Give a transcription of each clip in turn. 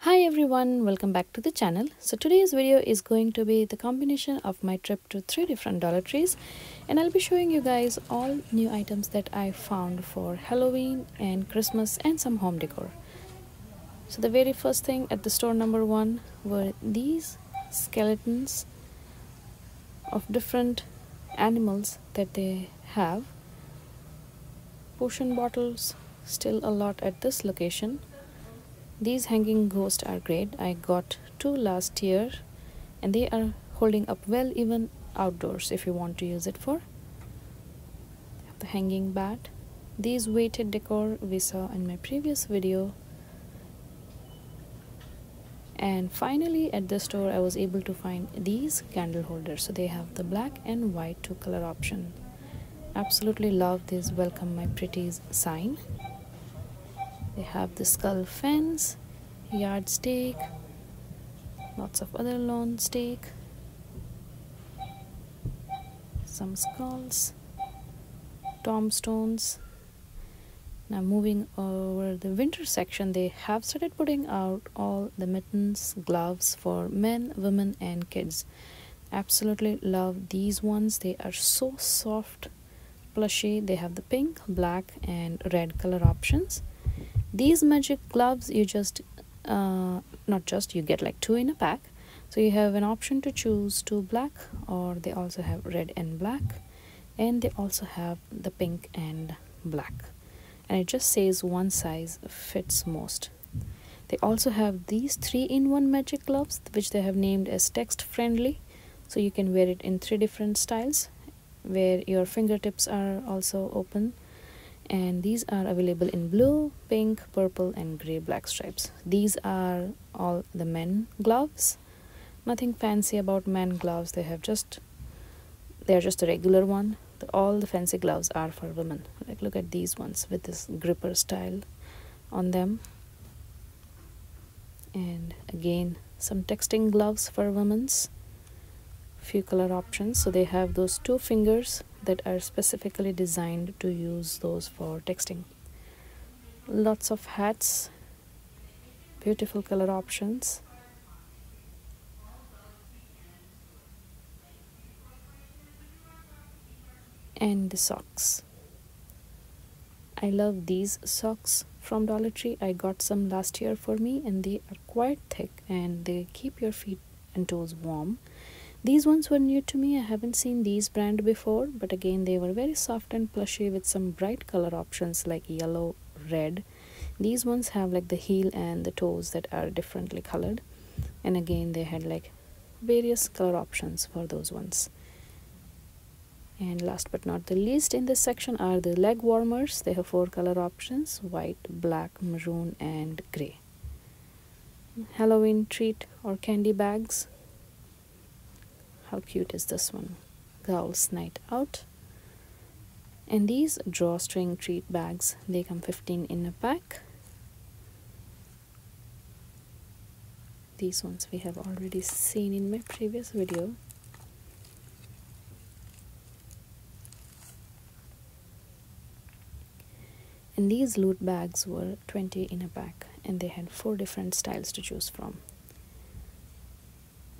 Hi everyone, welcome back to the channel. So today's video is going to be the combination of my trip to three different Dollar Trees and I'll be showing you guys all new items that I found for Halloween and Christmas and some home decor. So the very first thing at the store number one were these skeletons of different animals that they have potion bottles still a lot at this location these hanging ghosts are great i got two last year and they are holding up well even outdoors if you want to use it for the hanging bat these weighted decor we saw in my previous video and finally at this store i was able to find these candle holders so they have the black and white two color option Absolutely love this welcome my pretties sign. They have the skull fence, yard stake, lots of other lawn stake, some skulls, tombstones. Now moving over the winter section, they have started putting out all the mittens, gloves for men, women, and kids. Absolutely love these ones. They are so soft, plushy. They have the pink, black, and red color options. These magic gloves, you just, uh, not just, you get like two in a pack. So you have an option to choose two black, or they also have red and black, and they also have the pink and black and it just says one size fits most they also have these 3-in-1 magic gloves which they have named as text friendly. So you can wear it in three different styles where your fingertips are also open and these are available in blue, pink, purple and grey black stripes. These are all the men gloves. Nothing fancy about men gloves. They have just they are just a regular one all the fancy gloves are for women like look at these ones with this gripper style on them and again some texting gloves for women's few color options so they have those two fingers that are specifically designed to use those for texting lots of hats beautiful color options and the socks. I love these socks from Dollar Tree. I got some last year for me and they are quite thick and they keep your feet and toes warm. These ones were new to me. I haven't seen these brand before, but again they were very soft and plushy with some bright color options like yellow, red. These ones have like the heel and the toes that are differently colored and again they had like various color options for those ones and last but not the least in this section are the leg warmers they have four color options white black maroon and gray halloween treat or candy bags how cute is this one girls night out and these drawstring treat bags they come 15 in a pack these ones we have already seen in my previous video and these loot bags were 20 in a pack and they had four different styles to choose from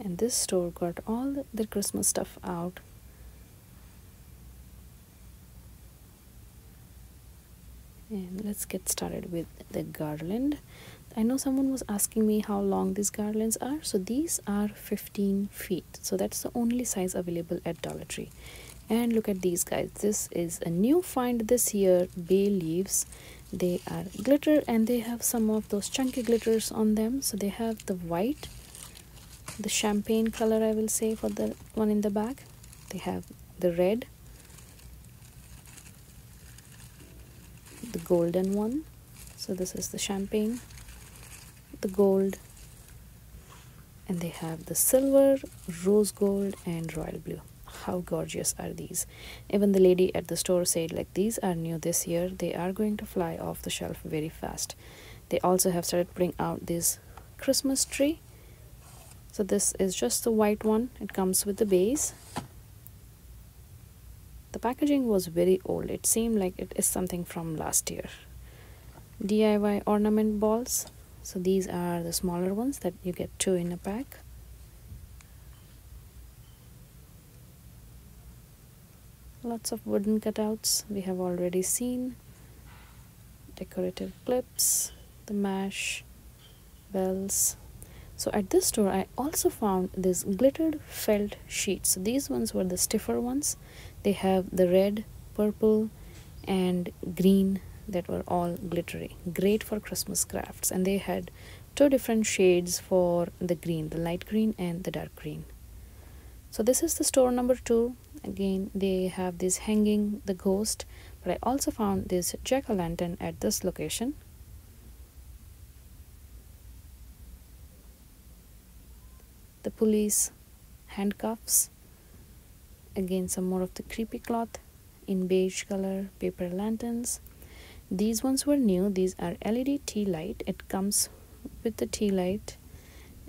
and this store got all their christmas stuff out let's get started with the garland I know someone was asking me how long these garlands are so these are 15 feet so that's the only size available at Dollar Tree and look at these guys this is a new find this year bay leaves they are glitter and they have some of those chunky glitters on them so they have the white the champagne color I will say for the one in the back they have the red the golden one so this is the champagne the gold and they have the silver rose gold and royal blue how gorgeous are these even the lady at the store said like these are new this year they are going to fly off the shelf very fast they also have started putting out this christmas tree so this is just the white one it comes with the base the packaging was very old it seemed like it is something from last year diy ornament balls so these are the smaller ones that you get two in a pack lots of wooden cutouts we have already seen decorative clips the mash bells so at this store i also found these glittered felt sheets so these ones were the stiffer ones they have the red purple and green that were all glittery great for christmas crafts and they had two different shades for the green the light green and the dark green so this is the store number two again they have this hanging the ghost but i also found this jack-o'-lantern at this location the police handcuffs again some more of the creepy cloth in beige color paper lanterns these ones were new these are led tea light it comes with the tea light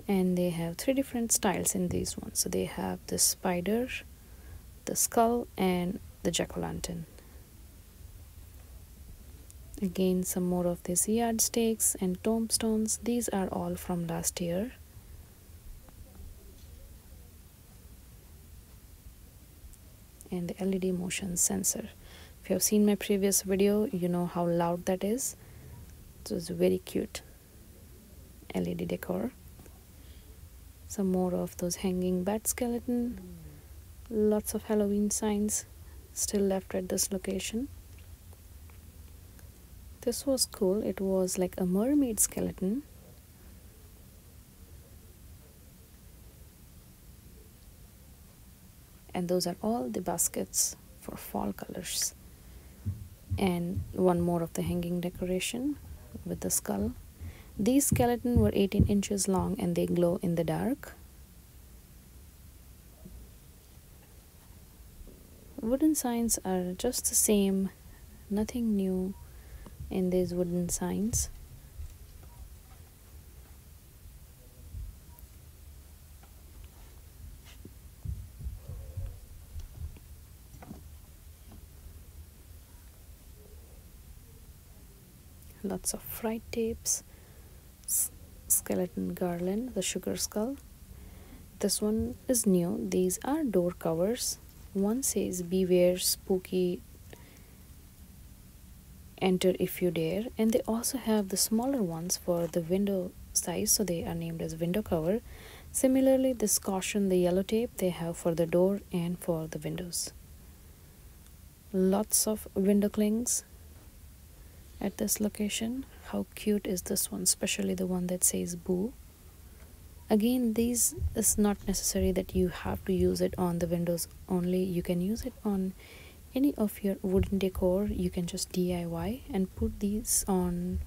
and they have three different styles in these ones so they have the spider the skull and the jack-o'-lantern again some more of the yard stakes and tombstones these are all from last year and the LED motion sensor if you have seen my previous video you know how loud that is this it was very cute led decor some more of those hanging bat skeleton lots of halloween signs still left at this location this was cool it was like a mermaid skeleton and those are all the baskets for fall colors and one more of the hanging decoration with the skull these skeletons were 18 inches long and they glow in the dark wooden signs are just the same nothing new in these wooden signs lots of fried tapes skeleton garland the sugar skull this one is new these are door covers one says beware spooky enter if you dare and they also have the smaller ones for the window size so they are named as window cover similarly this caution the yellow tape they have for the door and for the windows lots of window clings at this location how cute is this one especially the one that says boo again these is not necessary that you have to use it on the windows only you can use it on any of your wooden decor you can just DIY and put these on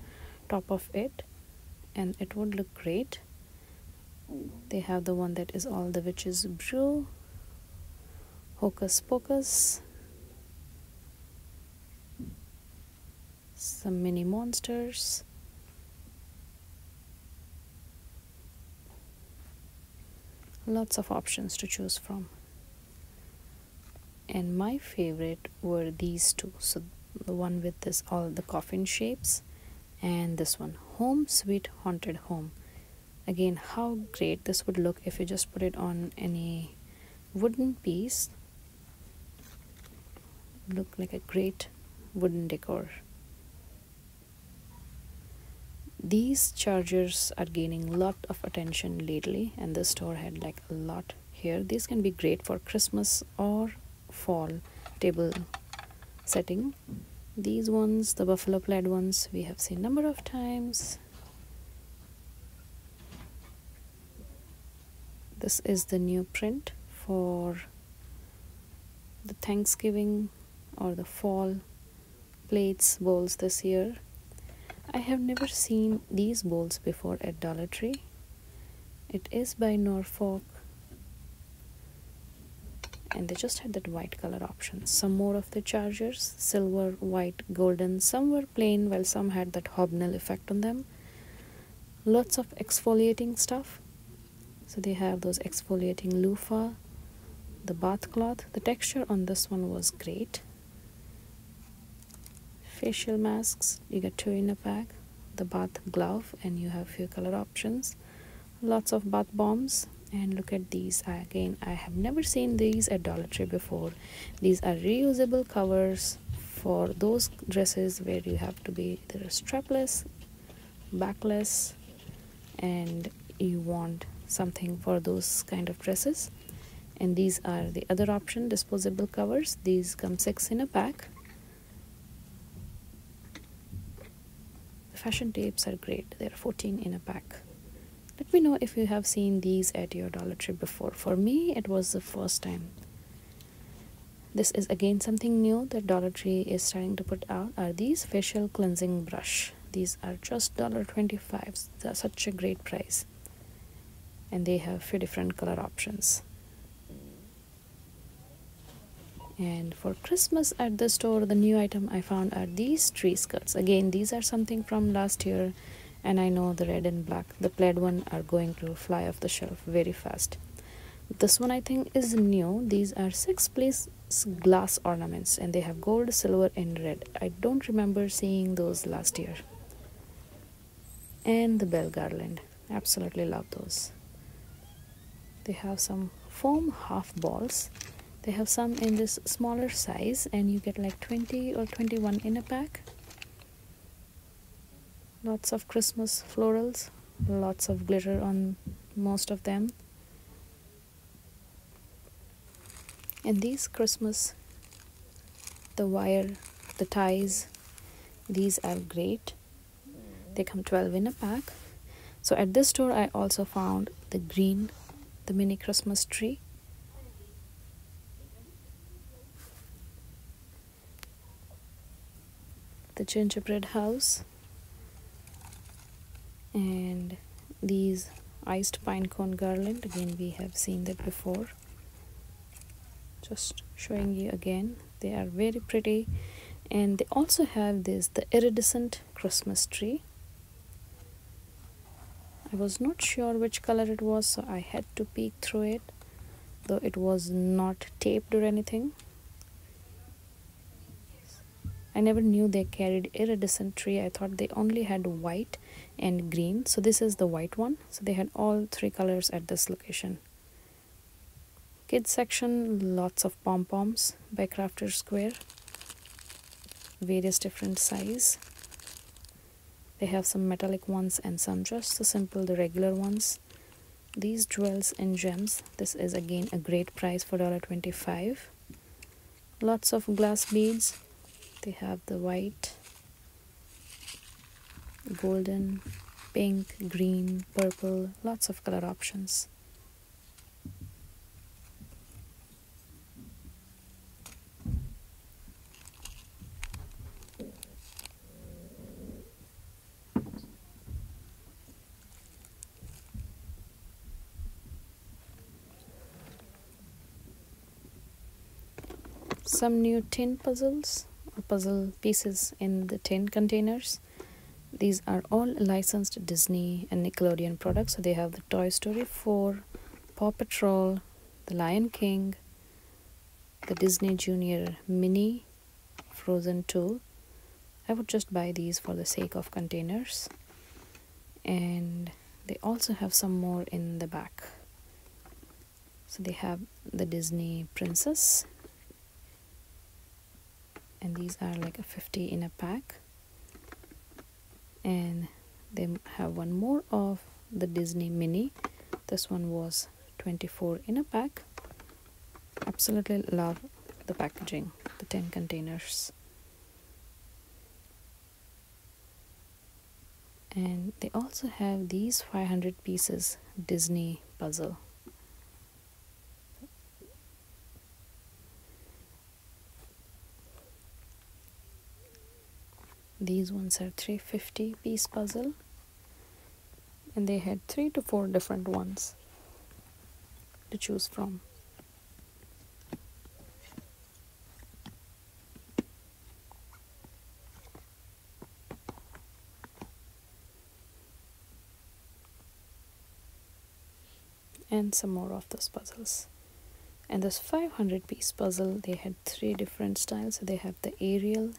top of it and it would look great they have the one that is all the witches brew hocus pocus some mini monsters lots of options to choose from and my favorite were these two so the one with this all the coffin shapes and this one home sweet haunted home again how great this would look if you just put it on any wooden piece look like a great wooden decor these chargers are gaining of attention lately and this store had like a lot here these can be great for christmas or fall table setting these ones the buffalo plaid ones we have seen number of times this is the new print for the thanksgiving or the fall plates bowls this year. I have never seen these bowls before at Dollar Tree. It is by Norfolk and they just had that white color option. Some more of the chargers, silver, white, golden, some were plain while some had that hobnail effect on them. Lots of exfoliating stuff. So they have those exfoliating loofah, the bath cloth. The texture on this one was great facial masks you get two in a pack the bath glove and you have few color options lots of bath bombs and look at these again i have never seen these at dollar tree before these are reusable covers for those dresses where you have to be strapless backless and you want something for those kind of dresses and these are the other option disposable covers these come six in a pack the fashion tapes are great they're 14 in a pack let me know if you have seen these at your Dollar Tree before. For me, it was the first time. This is again something new that Dollar Tree is trying to put out are these facial cleansing brush. These are just dollar $1.25. That's such a great price and they have few different color options and for Christmas at the store the new item I found are these tree skirts again these are something from last year and I know the red and black the plaid one are going to fly off the shelf very fast this one I think is new these are six place glass ornaments and they have gold silver and red i don't remember seeing those last year and the bell garland absolutely love those they have some foam half balls they have some in this smaller size and you get like 20 or 21 in a pack lots of christmas florals lots of glitter on most of them and these Christmas the wire the ties these are great they come 12 in a pack so at this store I also found the green the mini Christmas tree the gingerbread house and these iced pine cone garland again we have seen that before just showing you again they are very pretty and they also have this the iridescent christmas tree i was not sure which color it was so i had to peek through it though it was not taped or anything i never knew they carried iridescent tree i thought they only had white and green so this is the white one so they had all three colors at this location kids section lots of pom-poms by crafter square various different size they have some metallic ones and some just the simple the regular ones these jewels and gems this is again a great price for dollar twenty five lots of glass beads they have the white golden pink green purple lots of color options some new tin puzzles or puzzle pieces in the tin containers these are all licensed Disney and Nickelodeon products so they have the Toy Story 4 Paw Patrol the Lion King the Disney Junior Mini Frozen 2 I would just buy these for the sake of containers and they also have some more in the back so they have the disney princess and these are like a 50 in a pack and they have one more of the disney mini this one was 24 in a pack absolutely love the packaging the 10 containers and they also have these 500 pieces Disney puzzle these ones are 350 piece puzzle and they had three to four different ones to choose from and some more of those puzzles and this 500 piece puzzle they had three different styles so they have the aerial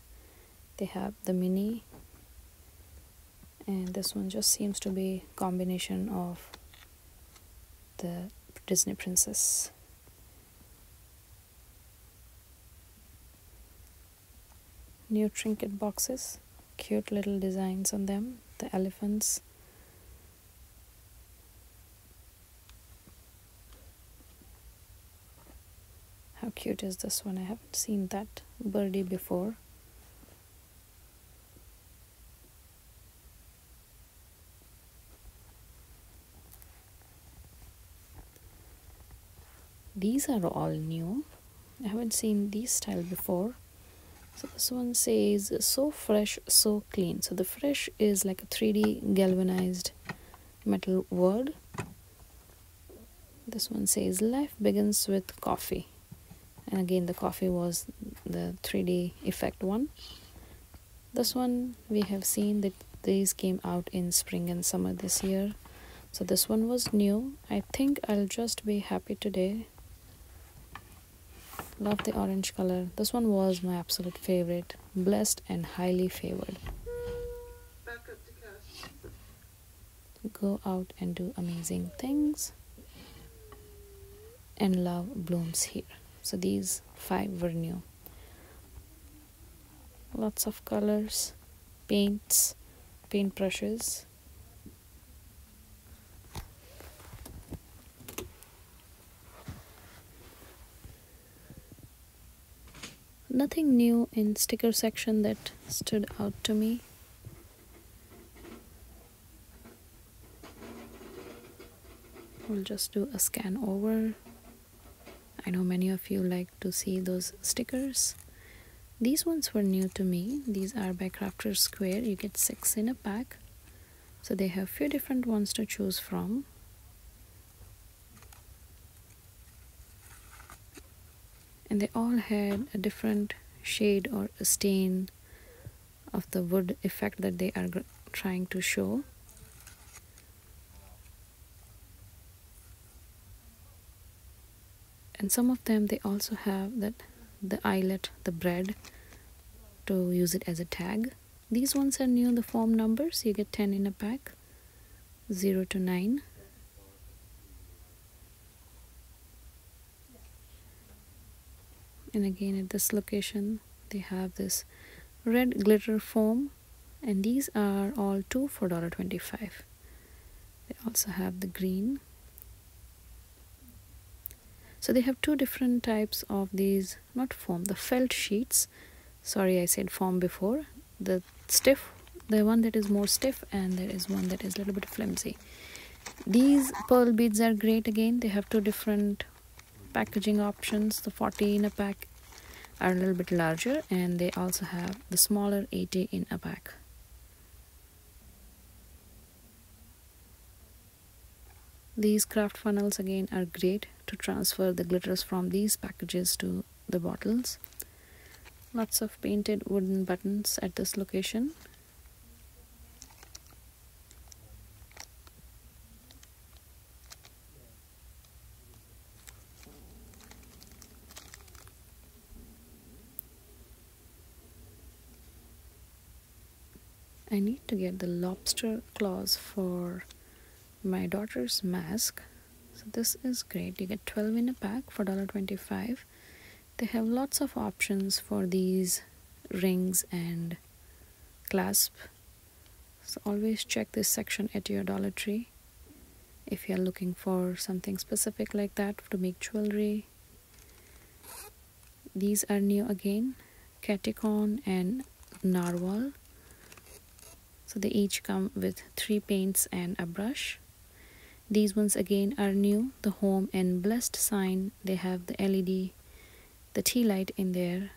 they have the mini and this one just seems to be combination of the Disney Princess. New trinket boxes, cute little designs on them, the elephants. How cute is this one? I haven't seen that birdie before these are all new i haven't seen these style before so this one says so fresh so clean so the fresh is like a 3d galvanized metal word this one says life begins with coffee and again the coffee was the 3d effect one this one we have seen that these came out in spring and summer this year so this one was new i think i'll just be happy today love the orange color this one was my absolute favorite blessed and highly favored go out and do amazing things and love blooms here. So these five were new. Lots of colors, paints, paint brushes. Nothing new in sticker section that stood out to me we'll just do a scan over I know many of you like to see those stickers these ones were new to me these are by crafter square you get six in a pack so they have few different ones to choose from and they all had a different shade or a stain of the wood effect that they are trying to show and some of them they also have that the eyelet the bread to use it as a tag these ones are near the form numbers you get 10 in a pack 0 to 9 and again at this location they have this red glitter foam and these are all two for $1.25 they also have the green so they have two different types of these not foam the felt sheets sorry I said foam before the stiff the one that is more stiff and there is one that is a little bit flimsy these pearl beads are great again they have two different packaging options the 40 in a pack are a little bit larger and they also have the smaller 80 in a pack these craft funnels again are great to transfer the glitters from these packages to the bottles lots of painted wooden buttons at this location I need to get the lobster claws for my daughter's mask. So this is great. You get 12 in a pack for $1.25. They have lots of options for these rings and clasp so always check this section at your Dollar Tree if you're looking for something specific like that to make jewelry these are new again catechon and narwhal so they each come with three paints and a brush these ones again are new the home and blessed sign they have the led the tea light in there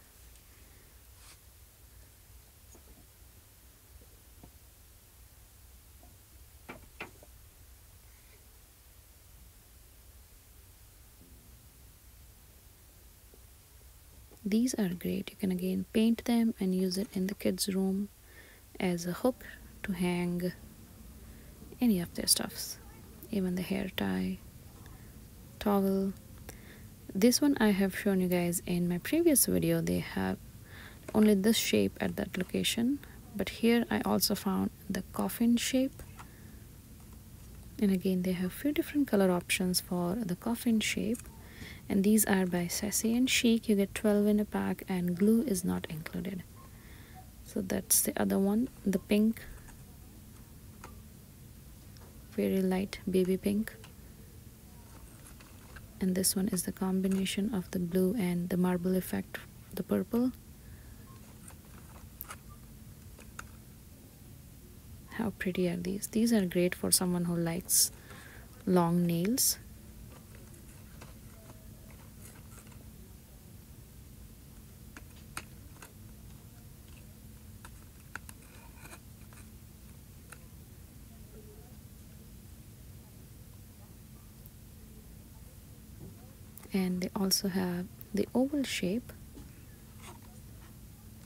these are great you can again paint them and use it in the kids room as a hook to hang any of their stuffs even the hair tie towel this one I have shown you guys in my previous video they have only this shape at that location but here I also found the coffin shape and again they have few different color options for the coffin shape and these are by Sassy and Chic you get 12 in a pack and glue is not included so that's the other one the pink very light baby pink and this one is the combination of the blue and the marble effect the purple how pretty are these these are great for someone who likes long nails and they also have the oval shape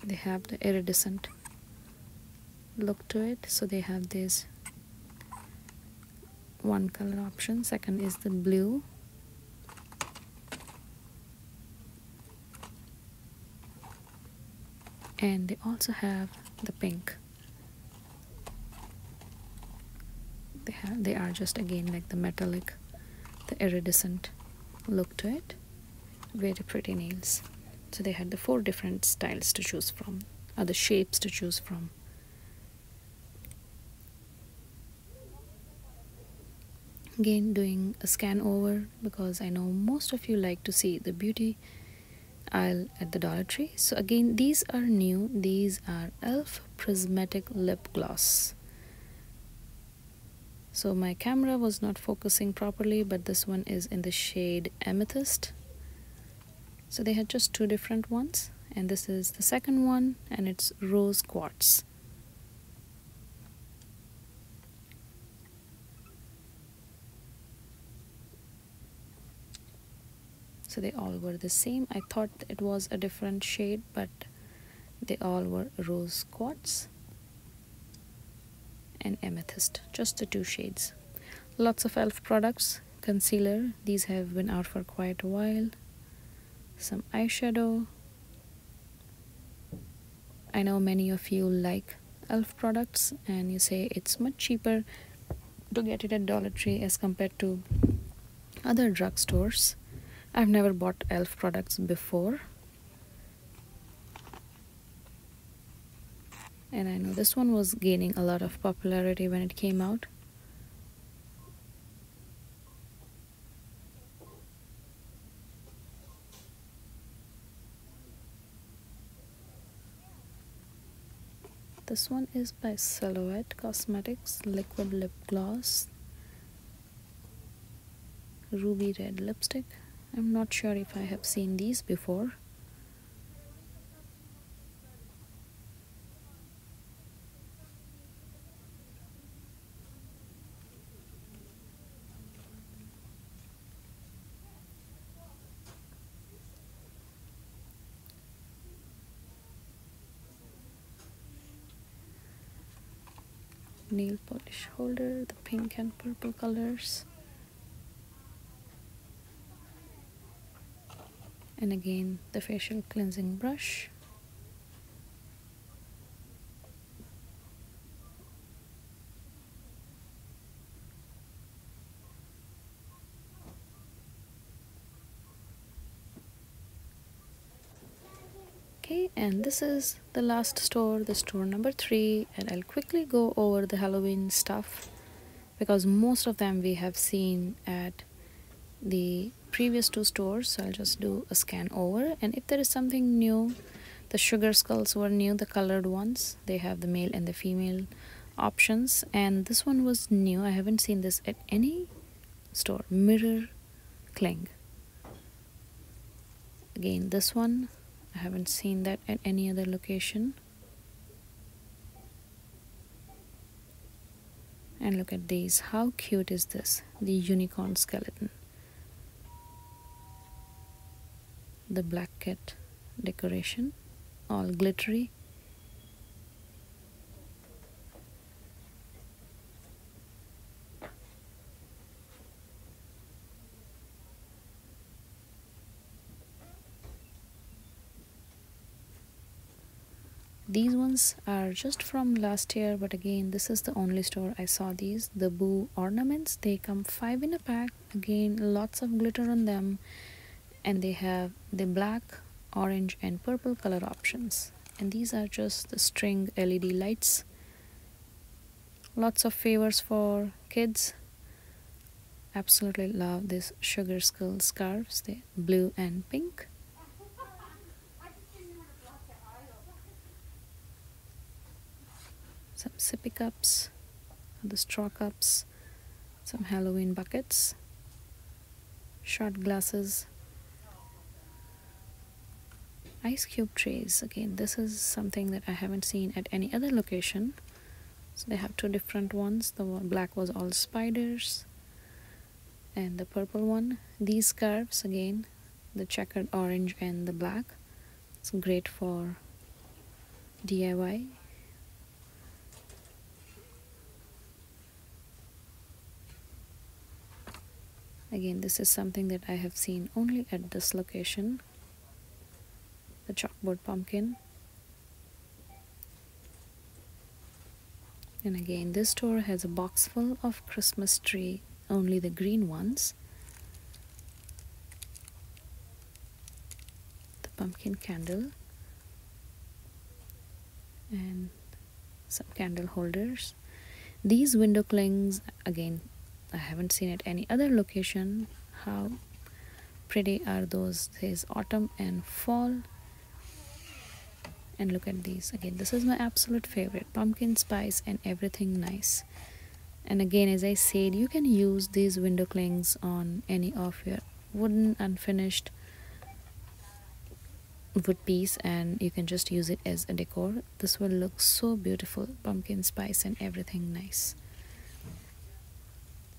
they have the iridescent look to it so they have this one color option second is the blue and they also have the pink they have they are just again like the metallic the iridescent look to it very pretty nails so they had the four different styles to choose from other shapes to choose from again doing a scan over because I know most of you like to see the beauty aisle at the Dollar Tree so again these are new these are elf prismatic lip gloss so my camera was not focusing properly but this one is in the shade amethyst so they had just two different ones and this is the second one and it's rose quartz so they all were the same I thought it was a different shade but they all were rose quartz and amethyst just the two shades lots of elf products concealer these have been out for quite a while some eyeshadow I know many of you like elf products and you say it's much cheaper to get it at Dollar Tree as compared to other drugstores. I've never bought elf products before. And I know this one was gaining a lot of popularity when it came out. This one is by Silhouette Cosmetics Liquid Lip Gloss Ruby Red Lipstick. I'm not sure if I have seen these before nail polish holder the pink and purple colors and again the facial cleansing brush okay and this is the last store the store number three and i'll quickly go over the halloween stuff because most of them we have seen at the previous two stores I'll just do a scan over and if there is something new the sugar skulls were new the colored ones they have the male and the female options and this one was new I haven't seen this at any store mirror cling again this one I haven't seen that at any other location and look at these how cute is this the unicorn skeleton the black cat decoration all glittery these ones are just from last year but again this is the only store i saw these the boo ornaments they come five in a pack again lots of glitter on them and they have the black orange and purple color options and these are just the string led lights lots of favors for kids absolutely love these sugar skull scarves the blue and pink some sippy cups the straw cups some halloween buckets shot glasses ice cube trays again this is something that i haven't seen at any other location so they have two different ones the black was all spiders and the purple one these scarves again the checkered orange and the black it's great for DIY again this is something that I have seen only at this location the chalkboard pumpkin and again this store has a box full of Christmas tree only the green ones the pumpkin candle and some candle holders these window clings again I haven't seen at any other location how pretty are those this autumn and fall and look at these again this is my absolute favorite pumpkin spice and everything nice and again as i said you can use these window clings on any of your wooden unfinished wood piece and you can just use it as a decor this will look so beautiful pumpkin spice and everything nice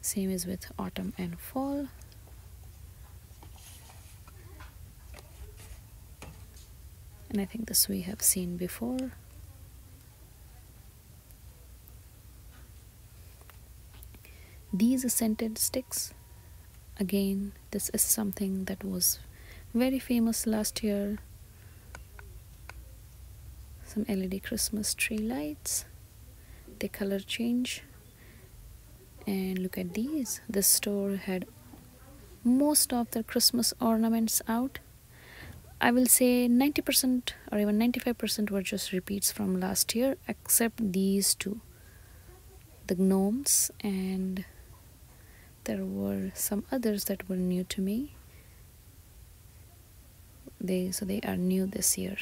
same as with autumn and fall and I think this we have seen before these scented sticks again this is something that was very famous last year some LED Christmas tree lights they color change and look at these this store had most of their christmas ornaments out i will say 90% or even 95% were just repeats from last year except these two the gnomes and there were some others that were new to me they so they are new this year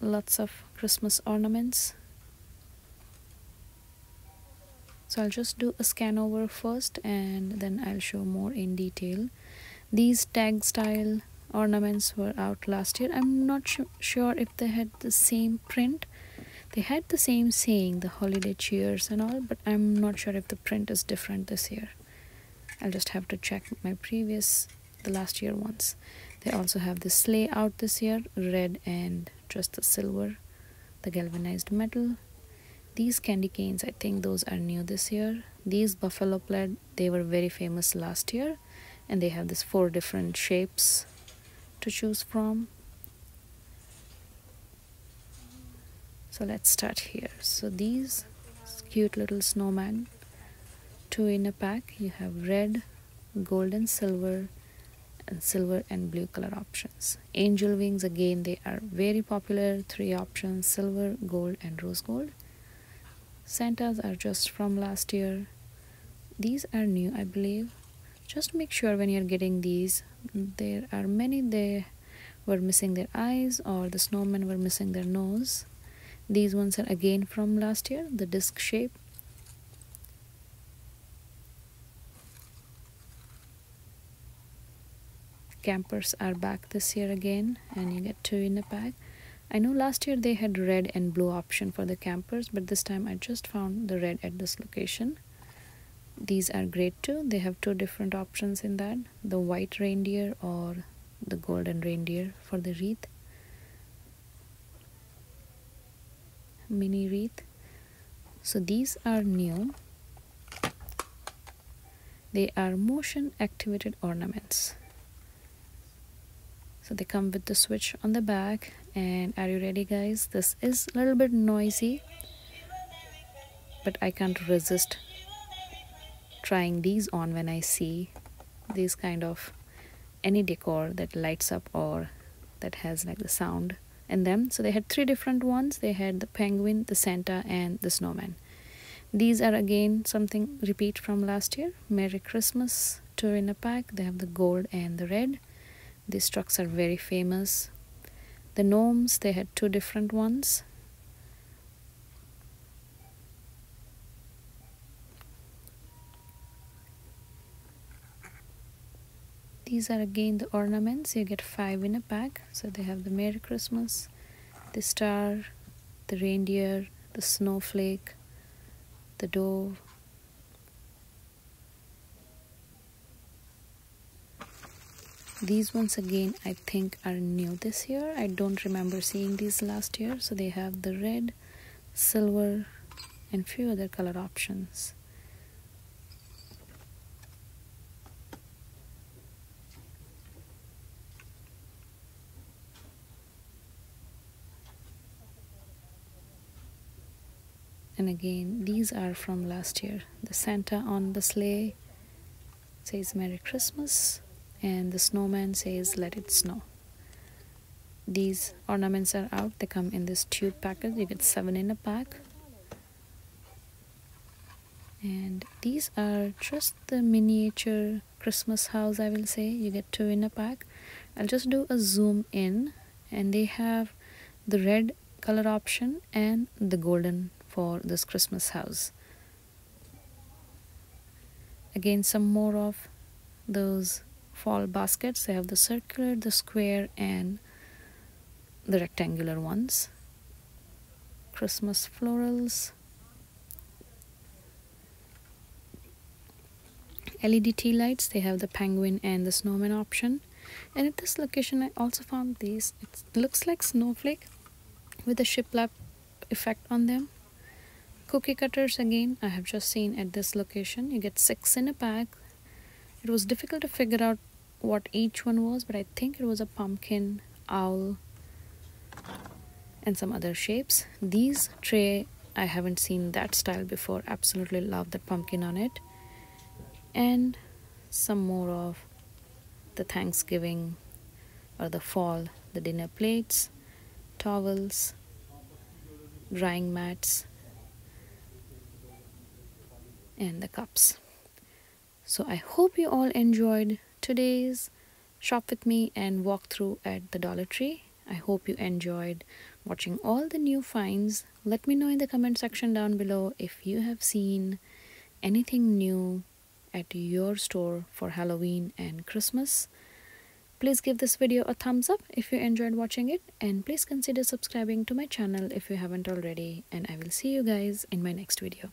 lots of christmas ornaments so I'll just do a scan over first and then I'll show more in detail these tag style ornaments were out last year I'm not sure if they had the same print they had the same saying the holiday cheers and all but I'm not sure if the print is different this year I'll just have to check my previous the last year ones they also have the sleigh out this year red and just the silver the galvanized metal these candy canes i think those are new this year these buffalo plaid they were very famous last year and they have this four different shapes to choose from so let's start here so these cute little snowman two in a pack you have red Gold and silver and silver and blue color options angel wings again they are very popular three options silver gold and rose gold santas are just from last year these are new i believe just make sure when you're getting these there are many they were missing their eyes or the snowmen were missing their nose these ones are again from last year the disc shape Campers are back this year again and you get two in a pack. I know last year they had red and blue option for the campers but this time I just found the red at this location. These are great too. They have two different options in that. The white reindeer or the golden reindeer for the wreath mini wreath so these are new they are motion activated ornaments so they come with the switch on the back and are you ready guys this is a little bit noisy but I can't resist trying these on when I see these kind of any decor that lights up or that has like the sound in them so they had three different ones they had the penguin the santa and the snowman these are again something repeat from last year merry christmas two in a pack they have the gold and the red these trucks are very famous the gnomes they had two different ones these are again the ornaments you get five in a pack so they have the merry christmas the star the reindeer the snowflake the dove these ones again i think are new this year i don't remember seeing these last year so they have the red silver, and few other color options. And again, these are from last year. The Santa on the sleigh says Merry Christmas, and the snowman says Let It Snow. These ornaments are out. They come in this tube package. You get seven in a pack. And these are just the miniature Christmas house, I will say. You get two in a pack. I'll just do a zoom in. And they have the red color option and the golden for this Christmas house again some more of those fall baskets they have the circular the square and the rectangular ones Christmas florals LED tea lights they have the penguin and the snowman option and at this location I also found these it looks like snowflake with a shiplap effect on them cookie cutters again I have just seen at this location you get six in a pack it was difficult to figure out what each one was but I think it was a pumpkin owl and some other shapes these tray I haven't seen that style before absolutely love that pumpkin on it and some more of the Thanksgiving or the fall the dinner plates towels drying mats and the cups so i hope you all enjoyed today's shop with me and walk through at the dollar tree i hope you enjoyed watching all the new finds let me know in the comment section down below if you have seen anything new at your store for halloween and christmas Please give this video a thumbs up if you enjoyed watching it and please consider subscribing to my channel if you haven't already and I will see you guys in my next video.